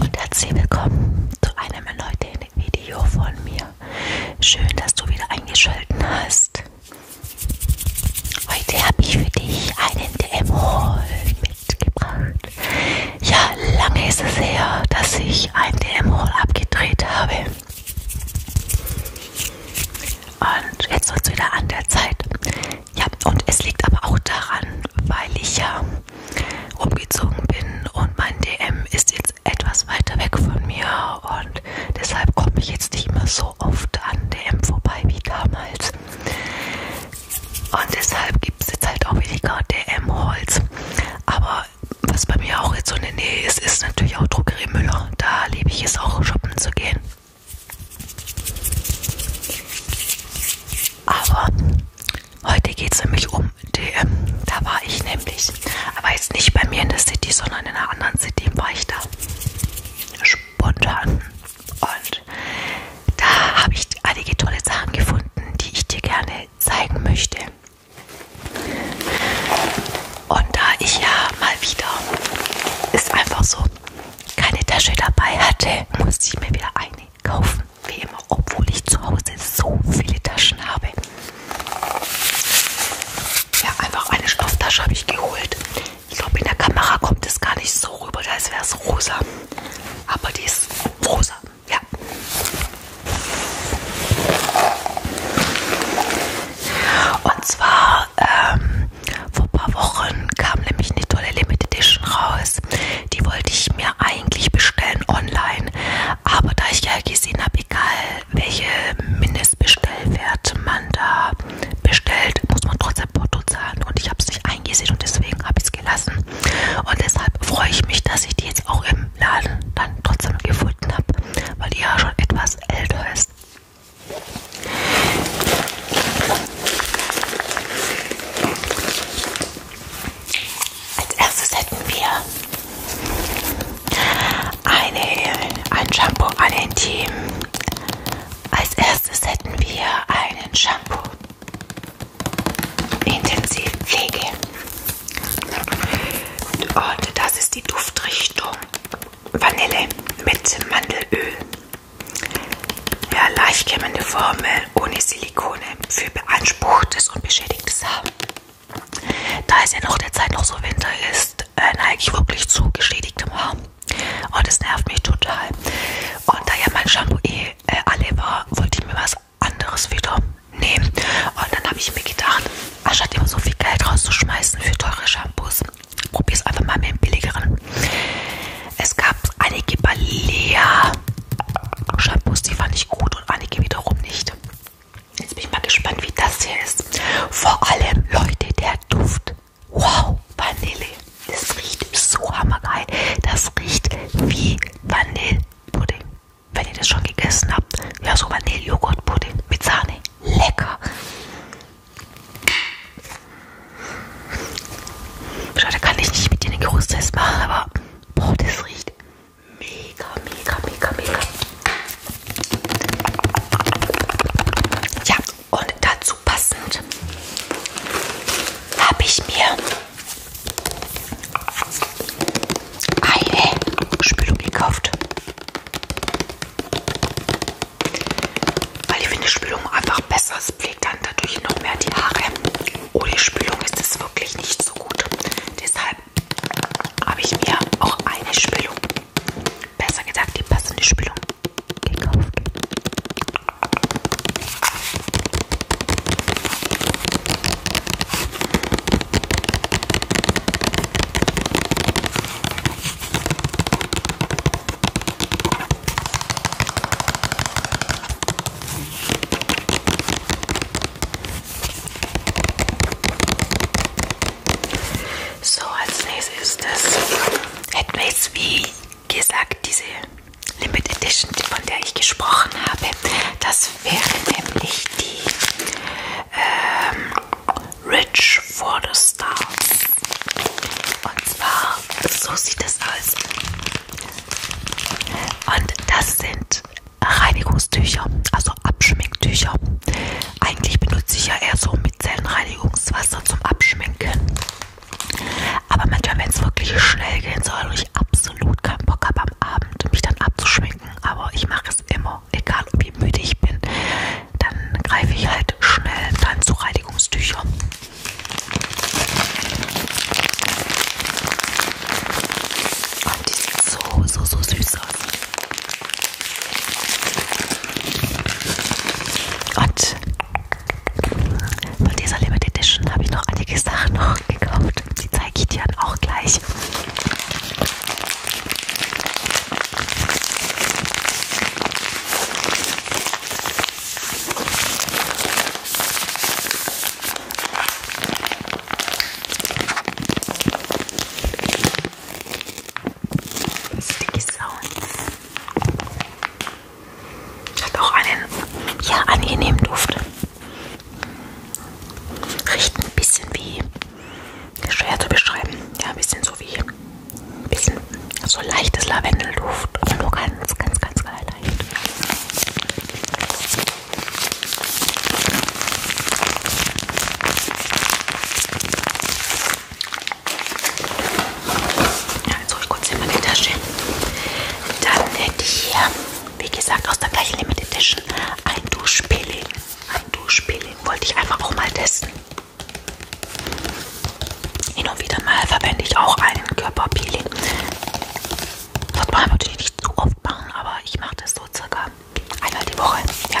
Und herzlich willkommen zu einem erneuten Video von mir. Schön, dass du wieder eingeschalten hast. Heute habe ich für dich einen DM-Haul mitgebracht. Ja, lange ist es her, dass ich einen DM-Haul abgedreht habe. Und jetzt wird es wieder an der Zeit. Ja, und es liegt aber auch daran, weil ich ja umgezogen bin und mein DM ist jetzt etwas weiter weg von mir und deshalb komme ich jetzt nicht mehr so oft an DM vorbei wie damals. Und deshalb gibt es jetzt halt auch weniger DM-Holz. Aber was bei mir auch jetzt so in der Nähe ist, ist natürlich auch Drogerie Müller. Da liebe ich es auch, shoppen zu gehen. Aber heute geht es nämlich um DM. Da war ich nämlich. Aber jetzt nicht bei mir in der City, sondern in einer anderen City war ich da. Spontan. Und da habe ich einige tolle Sachen gefunden, die ich dir gerne zeigen möchte. Und da ich ja mal wieder, ist einfach so, keine Tasche dabei hatte, musste ich mir wieder eine kaufen. Wie immer, obwohl ich zu Hause so viele Taschen habe. Ja, einfach eine Stofftasche habe ich geholt. Ich glaube, in der Kamera kommt es gar nicht so rüber, als wäre es rosa. Aber die ist rosa, ja. Und zwar zwar ähm, vor ein paar Wochen kam nämlich eine tolle Limited Edition raus. Die wollte ich mir eigentlich bestellen online. Aber da ich ja gesehen habe, egal welche Mindestbestellwerte man da bestellt, muss man trotzdem Porto zahlen. Und ich habe es nicht eingesehen und deswegen habe ich es gelassen. Und deshalb freue ich mich, dass ich die jetzt auch im Laden dann trotzdem gefunden habe, weil die ja schon etwas älter ist. Als erstes hätten wir eine, ein Shampoo, ein Intim. Als erstes hätten wir einen Shampoo. Intensivpflege. Und das ist die Duftrichtung Vanille mit Mandelöl. Ja, leicht kämmende Formel ohne Silikone für beanspruchtes und beschädigtes Haar. Da es ja noch der Zeit noch so Winter ist, äh, neige ich wirklich zu geschädigtem Haar. Und oh, es nervt mich total. Und da ja mein Shampoo eh äh, alle war, wollte ich mir was anderes wieder nehmen. Und dann habe ich mir gedacht, anstatt immer so viel Geld rauszuschmeißen für teure Shampoos, Probier es einfach mal mit dem billigeren. Es gab einige Balea-Shampoos, die fand ich gut und einige wiederum nicht. Jetzt bin ich mal gespannt, wie das hier ist. Vor allem, Leute, der Duft. Wow, Vanille. Das riecht so hammergeil. Das riecht wie Vanillepudding. Wenn ihr das schon gegessen habt, ja, so Vanille-Joghurt-Pudding mit Sahne. Lecker. Schade, kann ich nicht mit dir den Geruchstest machen, aber boah, das riecht mega, mega, mega, mega. Ja, und dazu passend habe ich mir eine Spülung gekauft. Weil ich finde Spülung einfach besser. Es pflegt dann dadurch noch mehr die Haare. Ohne Spülung ist es wirklich nicht so gut. Deshalb habe ich mir auch eine Spülung, besser gesagt die passende Spülung, gekauft. So, als nächstes das hätten wir jetzt wie gesagt diese Limit Edition, von der ich gesprochen habe. Das wäre nämlich die ähm, Rich for the Stars. Und zwar, so sieht es aus. Und das sind Reinigungstücher, also Abschminktücher. Eigentlich benutze ich ja eher so Micellenreinigungswasser zum Abschminken. Aber manchmal, wenn es wirklich schnell gehen soll und ich absolut keinen Bock habe am Abend, mich dann abzuschminken. Aber ich mache es immer, egal wie müde ich bin dann greife ich halt schnell dann zu Reinigungstüchern. Und die sieht so, so, so süß aus. Und von dieser Limited Edition habe ich noch einige Sachen noch gekauft. Die zeige ich dir dann auch gleich. Sticky Sounds. Hat auch einen ja, angenehmen Duft. Riecht ein bisschen wie, schwer zu beschreiben, ja, ein bisschen so wie ein bisschen so leichtes Lavendelduft, aber nur ganz, ganz, ganz, ganz leicht. Ja, jetzt hole ich kurz hier meine Tasche. Dann hätte ich hier, wie gesagt, aus der gleichen Limited Edition ein Duschpeeling. Ein Duschpeeling wollte ich einfach auch mal testen. Hin und wieder mal verwende ich auch einen Körperpeeling. Sollte man natürlich nicht zu oft machen, aber ich mache das so circa einmal die Woche. Ja.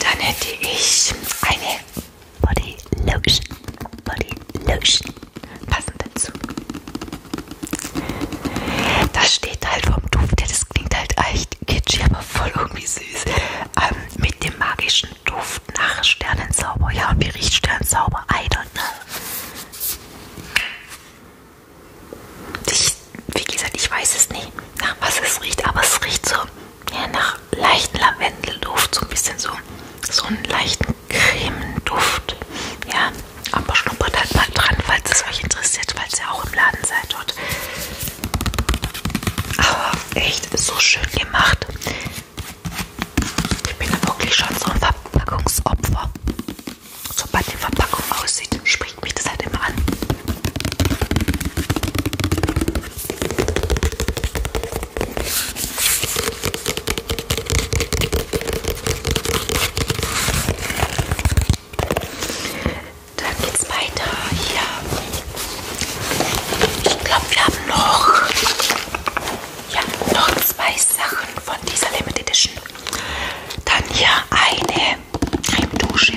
Dann hätte ich eine Body Lotion. Body Lotion. Passend dazu. Das steht halt vom Duft, der das das klingt halt echt kitschig, aber voll irgendwie süß. Ähm, mit dem magischen Duft nach Sternenzauber. Ja, und wie riecht Sternenzauber? I don't know. Ich, wie gesagt, ich weiß es nicht, nach was es riecht, aber es riecht so ja, nach leichten Lavendelduft, so ein bisschen so, so einen leichten Cremenduft. Ja, aber schnuppert halt mal dran, falls es euch interessiert, weil es ja auch im Laden seid dort. Aber echt so schön gemacht. Ich bin da wirklich schon so ein Verpackungsopfer. Sobald die Verpackung aussieht, springt mich das halt immer an. Dann geht's weiter hier. Ich glaube, wir haben noch, ja, noch zwei Sachen von dieser Limited Edition. Dann hier eine Cremedusche.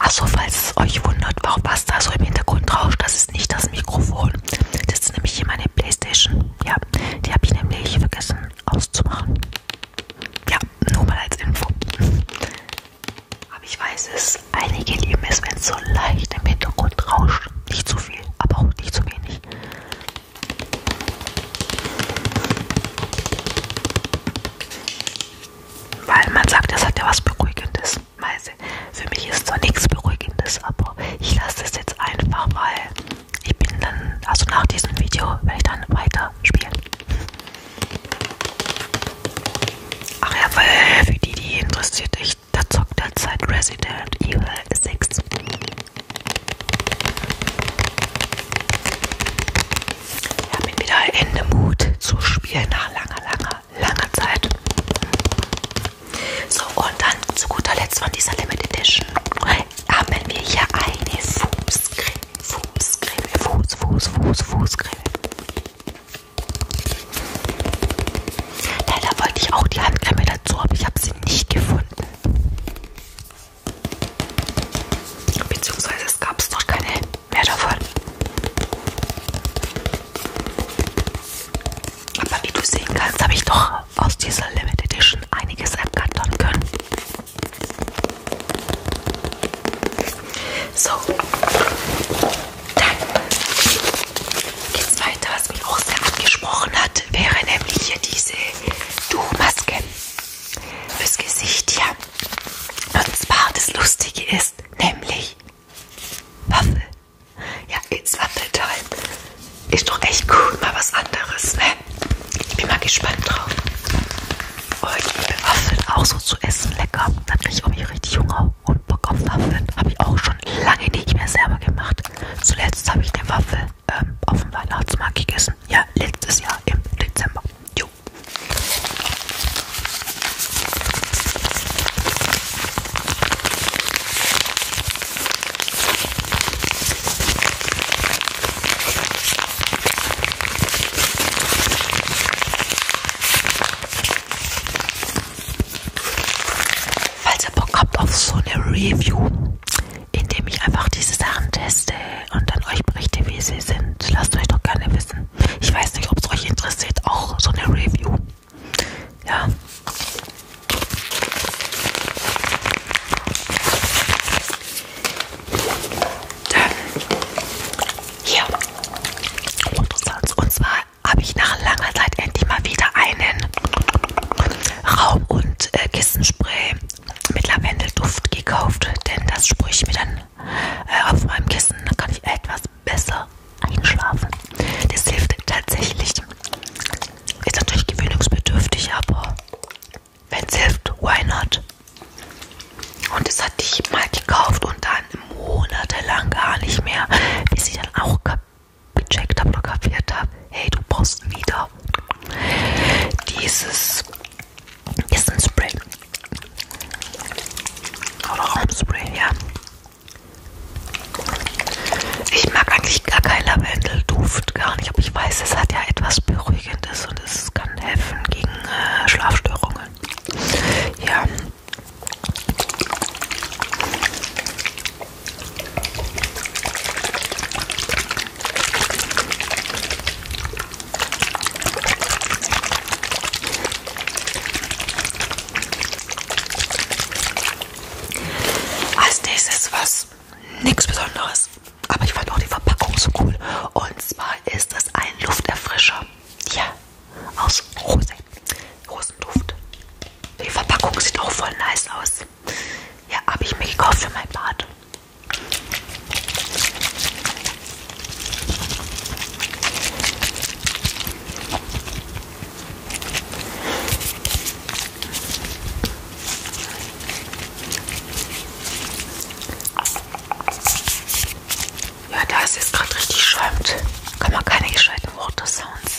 Achso, falls es euch wundert, warum was da so im Hintergrund rauscht, das ist nicht das Mikrofon. Das ist nämlich hier meine Playstation. Ja, die habe ich nämlich vergessen auszumachen. Ja, nur mal als Info. Aber ich weiß es, einige lieben es, wenn es so leicht im Hintergrund rauscht. Nicht zu viel, aber auch nicht zu wenig. Weil man sagt, das hat ja was Beruhigendes. Für mich ist zwar nichts Beruhigendes, aber ich lasse es jetzt einfach, weil ich bin dann, also nach diesem Video werde ich dann weiter spielen. Ach ja, weil für die, die interessiert, ich da zockt derzeit Resident Evil 6. Ich habe ihn wieder in den Mut zu spielen nach langer, langer, langer Zeit. So, und dann zu guter Letzt von dieser Limited Edition haben wir hier eine Fußcreme, Fußcreme, Fuß, Fuß, Fuß, Fußcreme. Leider wollte ich auch die Handcreme dazu, aber ich habe sie nicht gefunden. Beziehungsweise es gab es noch keine mehr davon. Aber wie du sehen kannst, habe ich doch aus dieser Limited Edition einiges ergattern können. So. Dann geht's weiter, was mich auch sehr angesprochen hat, wäre nämlich hier diese Duchmaske fürs Gesicht hier. Ja. Und zwar das Lustige ist nämlich Waffel. Ja, it's Waffel Time. Ist doch echt cool, mal was anderes, ne? Ich bin mal gespannt drauf. Und ich liebe Waffeln auch so zu essen, lecker. Da bin ich irgendwie richtig Hunger genau und Bock auf Waffeln habe ich auch schon lange nicht mehr selber gemacht. Zuletzt habe ich eine Waffel ähm, auf dem Weihnachtsmarkt gegessen. Ja, letztes Jahr im Dezember. Jo. Falls ihr Bock habt auf so eine Review, indem ich einfach diese Sachen teste und dann euch berichte, wie sie sind, lasst euch doch gerne wissen. Ich weiß nicht, ob es euch interessiert, auch so eine Review. Ja. Dann hier. Und zwar habe ich nach langer Zeit endlich mal wieder einen Raum- und äh, Kissenspray mit Lavendelduft gekauft, denn das sprühe ich mir dann äh, auf meinem Kissen, dann kann ich etwas besser einschlafen. Das hilft tatsächlich. Ist natürlich gewöhnungsbedürftig, aber wenn es hilft, why not? Und das hatte ich mal gekauft und dann monatelang gar nicht mehr, bis ich dann auch kapiert gecheckt habe oder kapiert habe, hey, du brauchst wieder dieses ist ein Spray oder Raumspray, ja. Ich mag eigentlich gar keinen Lavendelduft, gar nicht, aber ich weiß, es hat ja etwas Beruhigendes und es kann helfen gegen äh, Schlafstörungen. Ja, als nächstes was nichts Besonderes, aber ich fand auch die Verpackung so cool. Und zwar ist es ein Lufterfrischer. Ja, aus rosa Rosenduft. Die Verpackung sieht auch voll nice aus. Ja, habe ich mir gekauft für mein Bad. Ja, da ist jetzt gerade richtig schäumt. Kann man keine gescheiten Water Sounds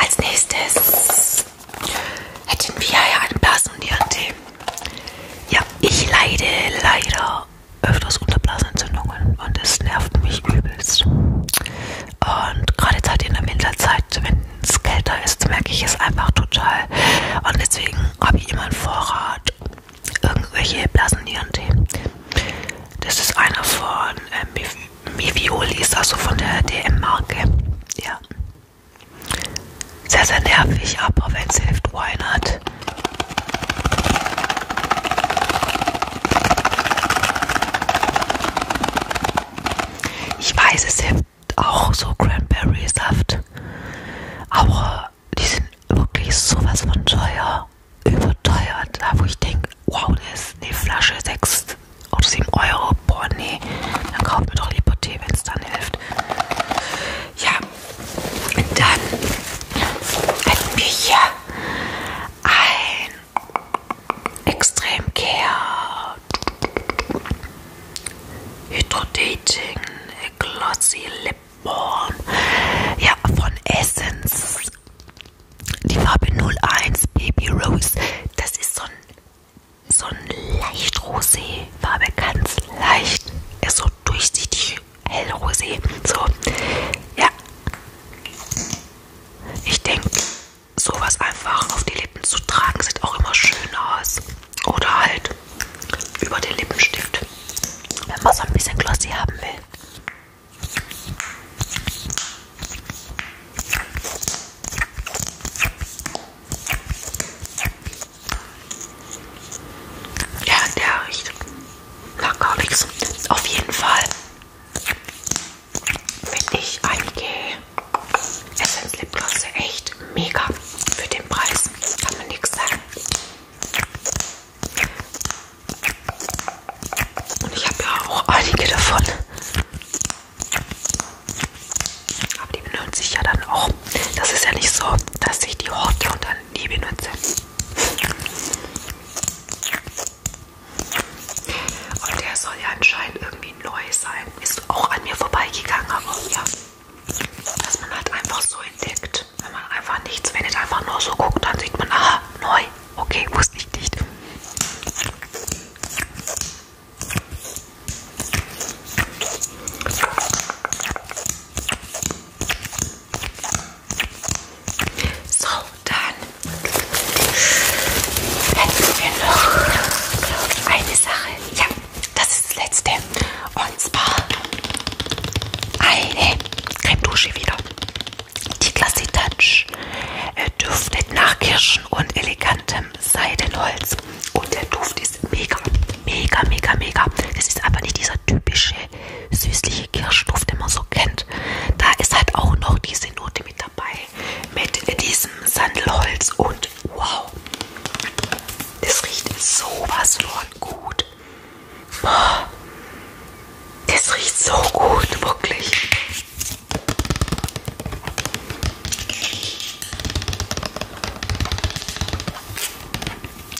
Als nächstes hätten wir ja einen Blasendiante. Ja, ich leide leider öfters unter Blasenentzündungen und es nervt mich übelst. Und gerade jetzt halt in der Winterzeit, wenn es kälter ist, merke ich es einfach total. Und deswegen habe ich immer einen Vorrat irgendwelche Blasenieren-Tee. Das ist einer von äh, Miviolis, also von der DM-Marke. Ja. Sehr, sehr nervig, aber wenn es hilft, why not? Ich weiß, es hilft auch so Cranberry-Saft. Aber die sind wirklich sowas von teuer, überteuert, da wo ich denke, wow, das ist eine Flasche 6 oder 7 Euro, boah nee, dann kauft mir doch lieber Tee, wenn es dann hilft. Ja, und dann hätten wir hier ein Extrem Care Hydrodating Glossy Lip Born. Ja, von Essence. Die Farbe 01 Baby Rose. Das ist so ein, so ein leicht rosé Farbe, ganz leicht. Ist so durchsichtig, hellrosé. So, ja. Ich denke, sowas einfach auf die Lippen zu tragen, sieht auch immer schön aus. Oder halt über den Lippenstift wenn man so ein bisschen glossy haben will. Ja, der riecht nach gar nichts. Auf jeden Fall finde ich einige Essence Lipglosse echt mega für den Preis. Kann man nichts sagen. Und ich habe ja auch einige davon. Aber die benutze ich ja dann auch. Das ist ja nicht so, dass ich die horte und dann nie benutze. Und der soll ja anscheinend irgendwie neu sein. Ist auch an mir vorbeigegangen, aber ja. Dass man halt einfach so entdeckt guckt. Wenn man einfach nichts, wenn es einfach nur so guckt, dann sieht man, aha, neu. Okay, wusste ich nicht. So, dann hätten wir noch, glaube ich, eine Sache. Ja, das ist das letzte. Und und zwar eine Creme Dusche wieder. Die Classy Touch äh, duftet nach Kirschen und elegantem Seidenholz. Und der Duft ist mega, mega, mega, mega. Das ist aber nicht dieser typische süßliche Kirschduft, den man so kennt. Da ist halt auch noch diese Note mit dabei. Mit diesem Sandelholz und wow. Das riecht sowas von gut. Boah, das riecht so gut, wirklich.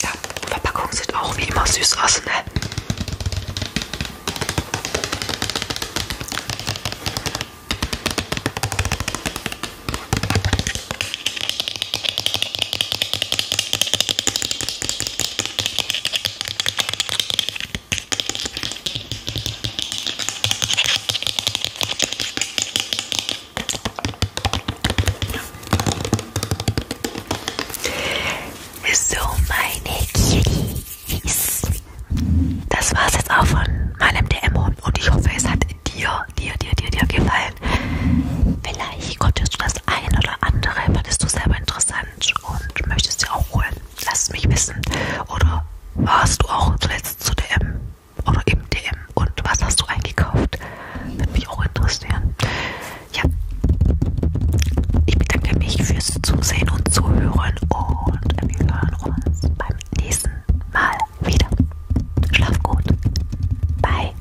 Ja, Verpackungen sind auch wie immer süß aus, ne? So, meine Kitties. Das war's jetzt auch von meinem DM und ich hoffe, es hat dir, dir, dir, dir, dir gefallen. Vielleicht konntest du das das ein oder andere fandest du selber interessant und möchtest dir auch holen. Lass es mich wissen. Oder warst du auch zuletzt zu DM oder im DM und was hast du eingekauft? Würde mich auch interessieren. Ja, ich bedanke mich fürs Zusehen und Zuhören und wir hören uns beim nächsten Mal wieder. Schlaf gut. Bye.